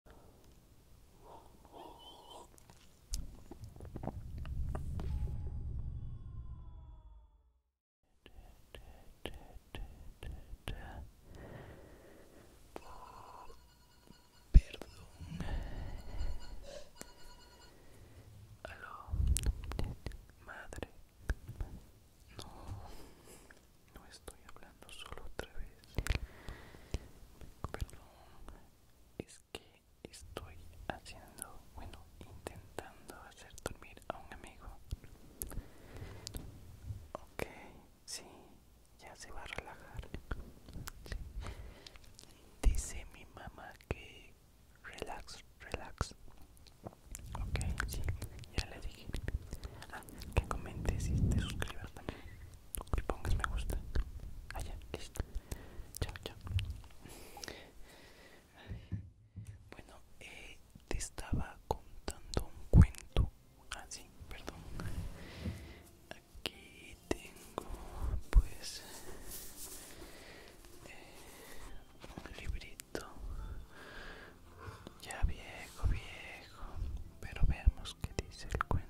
Perdón. Aló. Madre. No. No estoy hablando solo otra vez. Perdón, es que estoy haciendo, bueno, intentando hacer dormir a un amigo. Ok, sí, ya se va a relajar. Dice mi mamá que relax, relax. Ok, sí, ya le dije. Ah, que comentes si te suscribas también y pongas me gusta allá ah, listo chao chao bueno eh, te estaba contando un cuento ah perdón aquí tengo pues eh, un librito ya viejo viejo pero veamos qué dice el cuento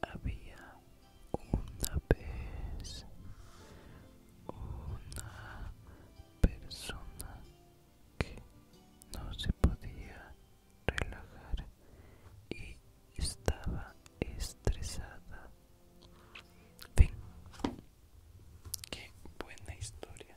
había una vez una persona que no se podía relajar y estaba estresada. Fin. Qué buena historia.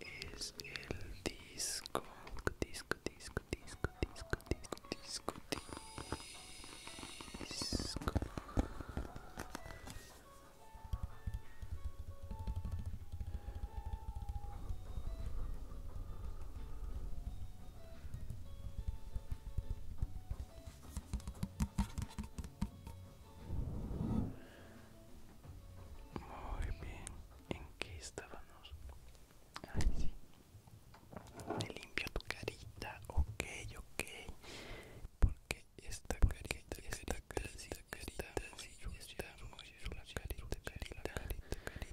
es el disco disco disco disco disco disco disco disco muy bien, ¿en qué estábamos? Ay, sí. Te limpio tu carita, ok, ok. Porque esta carita, esta carita, carita, carita, carita, carita, carita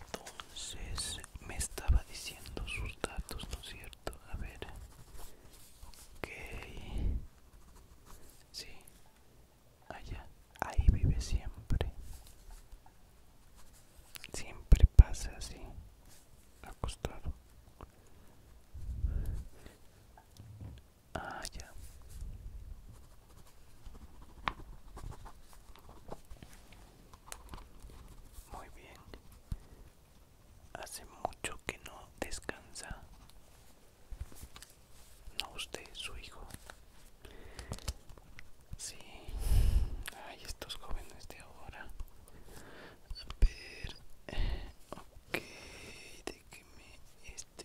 Entonces me estaba diciendo sus datos, ¿no es cierto? A ver. Ok. Sí allá, ahí vive siempre. Siempre pasa así, acostado. Ah, ya. Muy bien. Hace mucho que no descansa. No usted, su hijo. Sí. Ay, estos jóvenes de ahora. A ver. Ok, este, de que me este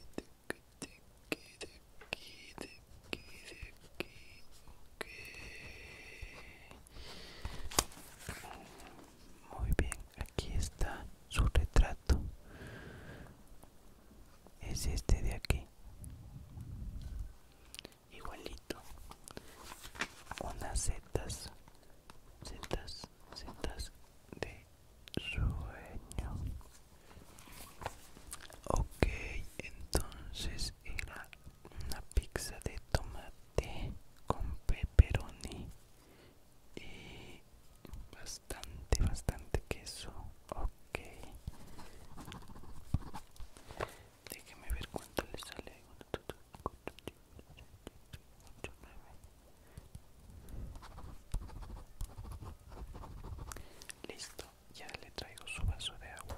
que de aquí, de aquí, de aquí, de aquí. Ok. Muy bien, aquí está su retrato es este de aquí igualito unas setas setas setas de sueño ok entonces era una pizza de tomate con pepperoni y bastante bastante queso déjeme ver cuánto le sale listo ya le traigo su vaso de agua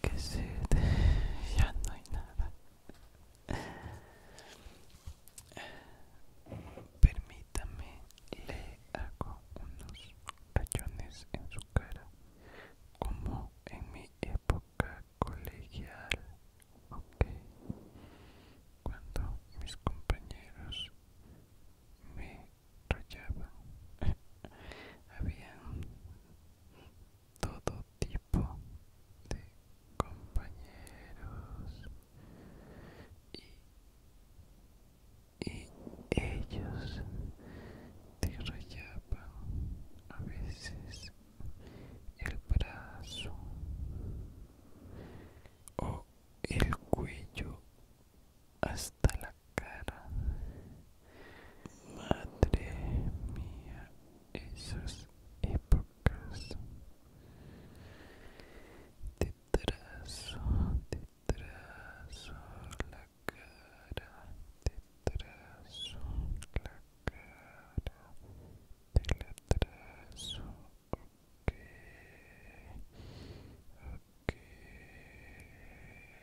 que se ya no hay nada permítame le hago unos Rayones en su cara como en mi época colegial ok cuando mis compañeros me rayaban habían todo tipo de compañeros y, ellos te rayaban a veces el brazo o el cuello hasta la Madre mía, esas épocas. Te trazo, te trazo la cara, te trazo la cara, te la trazo,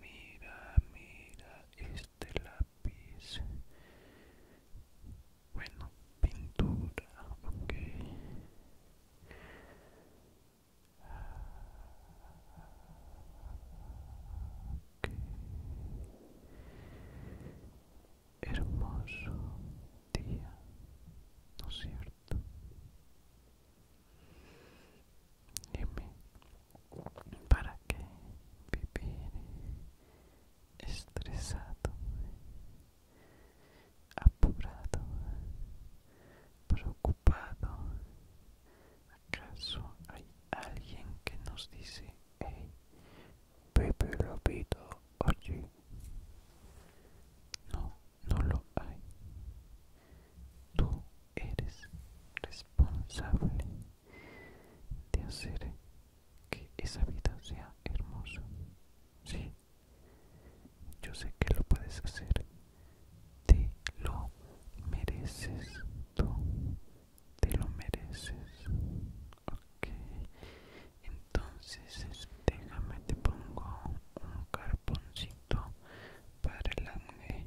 mira mira este lápiz bueno pintura ok Okay. Hermoso día, ¿no es cierto? Dime, ¿Para qué vivir estresado, apurado, preocupado? ¿Acaso hay alguien que nos dice, hey, lo pido, oye? No, no lo hay. Tú eres responsable de hacer que esa vida sea hermosa. Sí, yo sé que lo puedes hacer. Te lo mereces tú. Te lo mereces. Ok. Entonces, este, déjame te pongo un carboncito para el ángel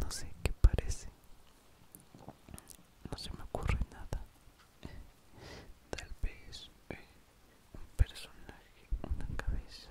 no sé qué parece no se me ocurre nada tal vez eh, un personaje una cabeza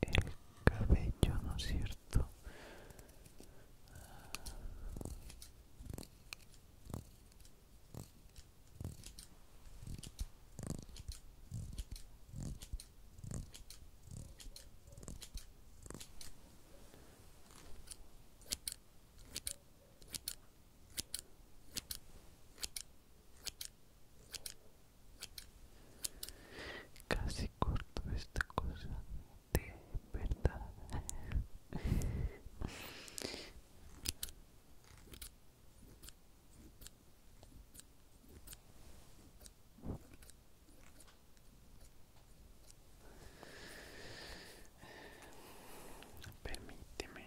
el cabello, ¿no es cierto? Casi corto esta cosa de verdad. Permíteme.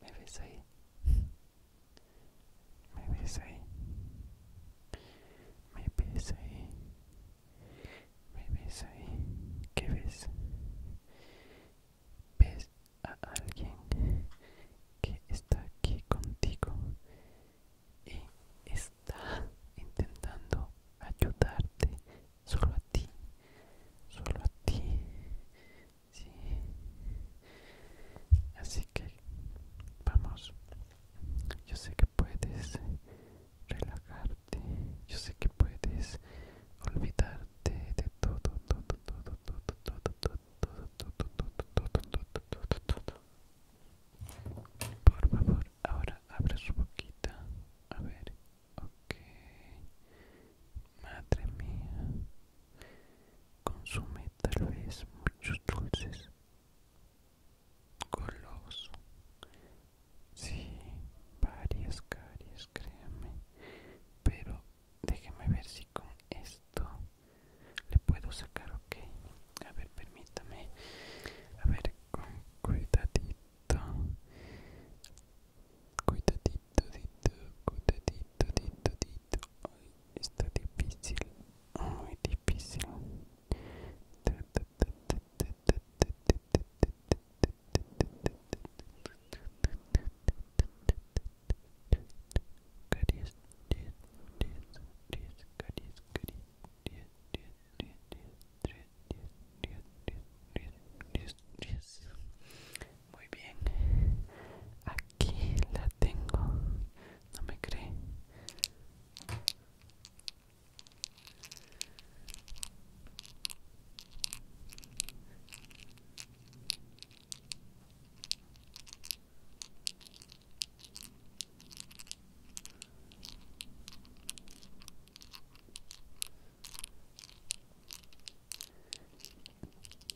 Me ves ahí. Me ves ahí. Me ves ahí. Me ¿Qué ves? ¿Ves a alguien que está aquí contigo? y está intentando ayudarte solo a ti solo a ti sí. así que vamos yo sé que puedes relajarte yo sé que puedes olvidarte de todo todo todo todo todo todo todo todo todo todo todo todo todo todo por favor, ahora abre su boquita. A ver, ok. Madre mía. Consume tal vez muchos dulces. Goloso. Sí, varias caries, créame. Pero déjeme ver si con esto le puedo sacar ok a ver permítame a ver con cuidadito cuidadito dito cuidadito dito está difícil muy difícil diez, diez, diez, diez, diez, diez, diez, diez, diez, Muy bien. Aquí la tengo. No me cree.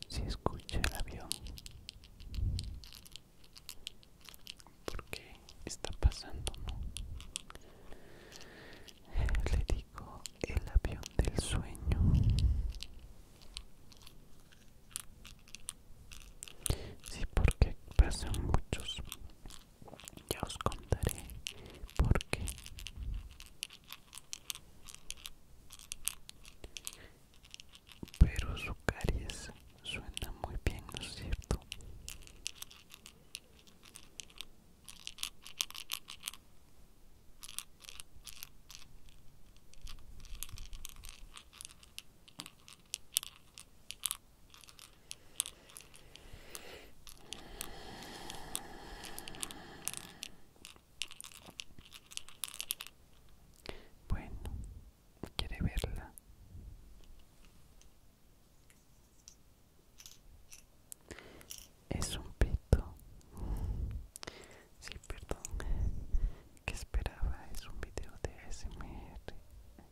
Si escucha el avión, porque está pasando, Le digo el avión del sueño. Sí, porque pasan muchos. Ya os contaré por qué. Pero su caries suena muy bien, ¿no es cierto? Bueno, ¿quiere verla? Es un pito. Sí, perdón. Que esperaba? Es un video de ASMR.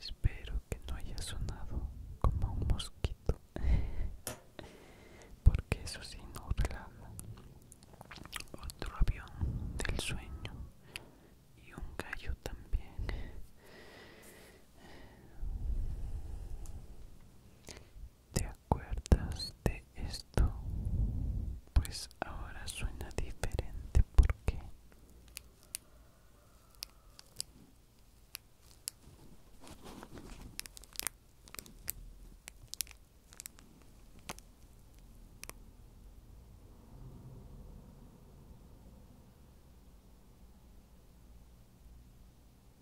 Espero que no haya sonado como un mosquito, porque eso sí no relaja. Otro avión del sueño y un gallo también. ¿Te acuerdas de esto? Pues ahora suena diferente ¿por qué?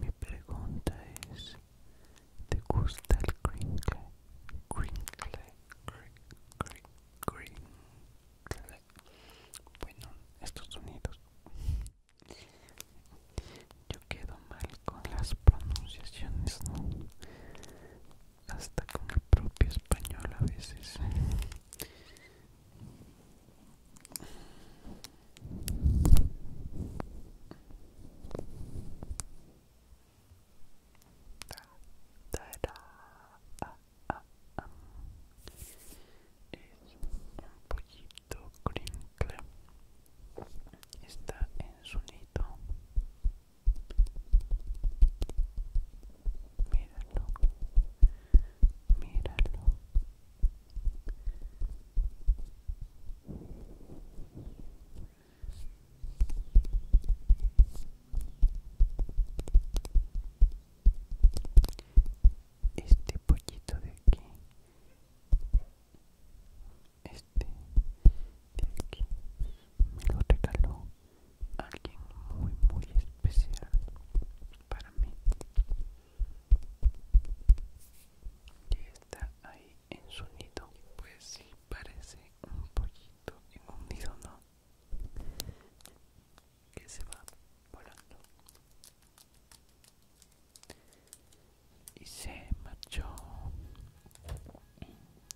Mi pregunta es, ¿te gusta el crinkle? Crinkle, Bueno, estos sonidos. Yo quedo mal con las pronunciaciones, ¿no? hasta con el propio español a veces es un pollito crinkle está en su nido Míralo, míralo. Este pollito de aquí este de me lo regaló alguien muy muy especial para mí y está ahí en su nido pues sí parece un pollito en un nido no que se va volando y se marchó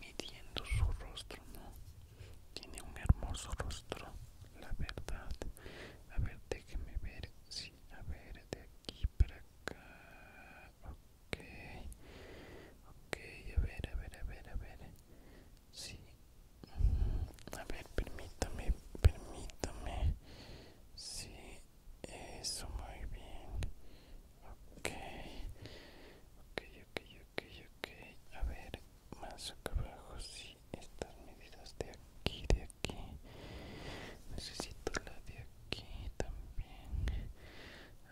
midiendo su rostro, ¿no? Tiene un hermoso rostro, la verdad. A ver, déjeme ver. Sí, a ver, de aquí para acá. Ok. Ok, a ver, a ver, a ver, a ver. Sí. Mm, a ver, permítame, permítame. Sí, eso muy bien. Ok. Ok, ok, ok, ok. A ver, más acá abajo, sí, estas medidas de aquí, de aquí. Necesito la de aquí también.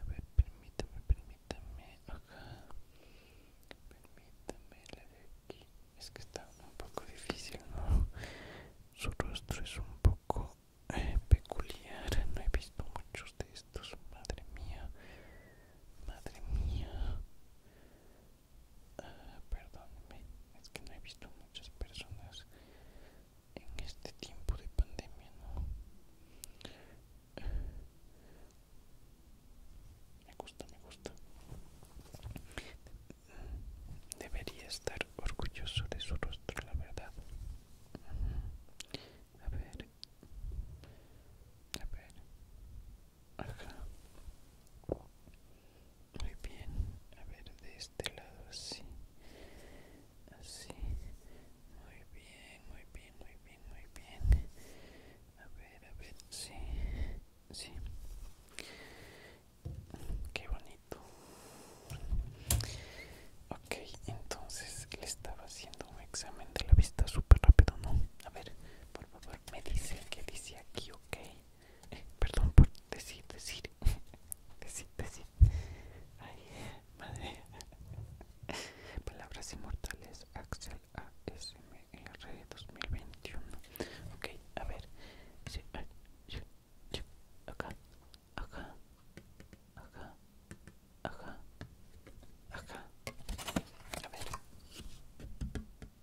A ver, permítame, permítame. Acá. Permítame la de aquí. Es que está un poco difícil, ¿no? Su rostro es un poco eh, peculiar. No he visto muchos de madre mía, madre mía. Ah, perdóneme, es que no he visto muchas personas en este tiempo de pandemia, ¿no? Me gusta, me gusta. Debería estar orgulloso de su rostro, la verdad. A ver, a ver acá muy bien a ver de este lado así así muy bien muy bien muy bien muy bien a ver a ver sí sí qué bonito ok entonces le estaba haciendo un examen de la vista súper rápido, ¿no? A ver, por favor, me dice que dice aquí, ok. Eh, perdón por decir, decir. decir, decir. Ay, madre. Palabras inmortales, Axel ASMR 2021. Ok, a ver. acá, acá, acá, acá, acá, a ver,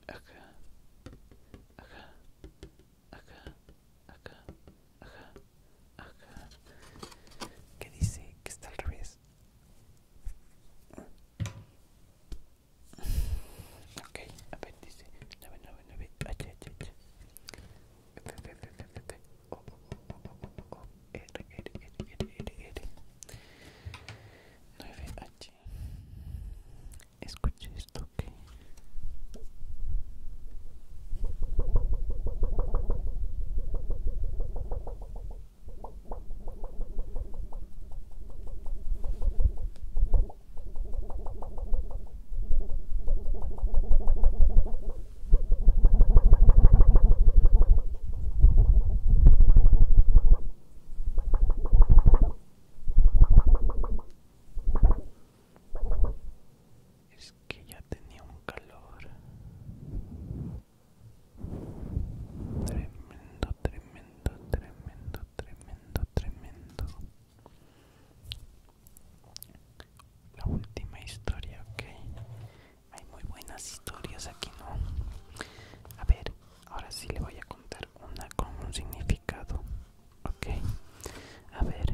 acá, acá, acá, acá, acá, acá, dice que está al revés. Ok, a ver, dice R, R, R, R, R. 9H. Escuche esto que... Es que ya tenía un calor tremendo, tremendo, tremendo, tremendo, tremendo. La última historia, ok hay muy buenas historias aquí no a ver ahora sí le voy a contar una con un significado ok a ver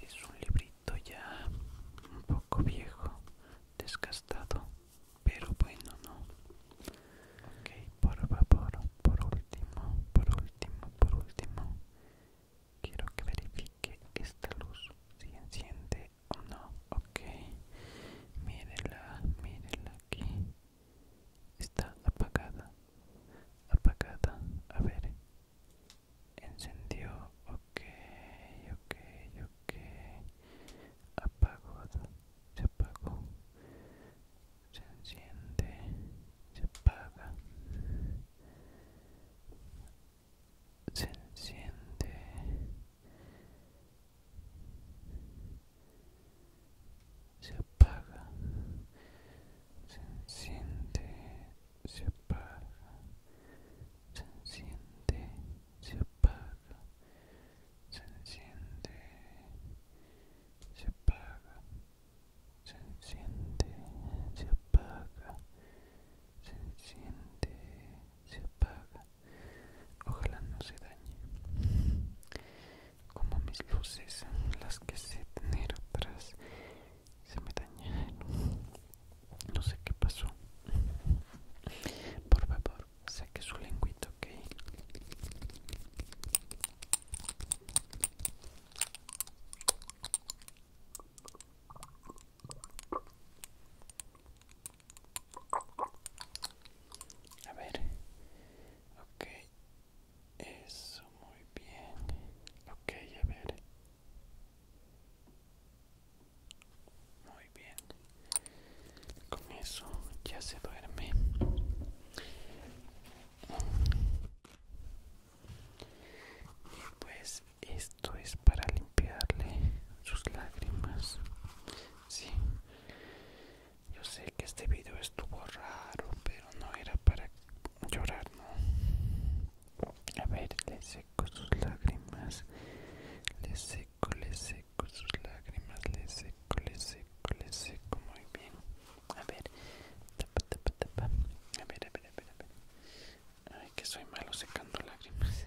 Es un librito ya un poco viejo, desgastado, pero bueno, no. Ok, por favor, por último, por último, por último, quiero que verifique esta luz si enciende o no. Ok, mírela, mírela aquí. Está apagada. Apagada. A ver. Encendió. Ok, ok, ok. Apagado. Se apagó. Se enciende. Se apaga. Se enciende se apaga, se enciende, se apaga, se enciende, se apaga, se enciende, se apaga, se enciende, se apaga, se enciende, se apaga. Ojalá no se dañe como mis luces las que sé tener atrás se me dañaron no sé qué pasó por favor saque su lengüito, ok a ver ok eso, muy bien. Ok, a ver. Muy bien. Con eso ya se duerme. pues esto es para limpiarle sus lágrimas. Sí. Yo sé que este video estuvo raro, pero no era para llorar, ¿no? A ver, le seco sus lágrimas. Le seco, le seco sus lágrimas. Le seco, le seco, le seco. Muy bien. A ver, tapa, tapa, tapa. A ver, a ver, a ver, a ver. Ay, que soy malo secando lágrimas.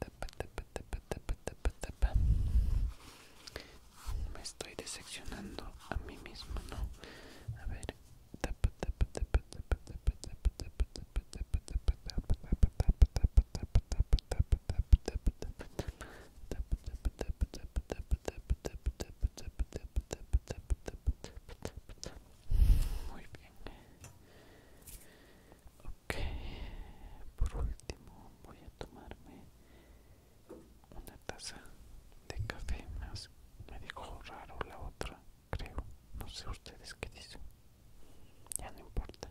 tapa, tapa, tapa, tapa, tapa, tapa me estoy decepcionando a mí mismo, ¿no? A ver. Muy bien. Ok, por último voy a tomarme una taza de café más me dijo raro la otra creo no sé ustedes qué dicen ya no importa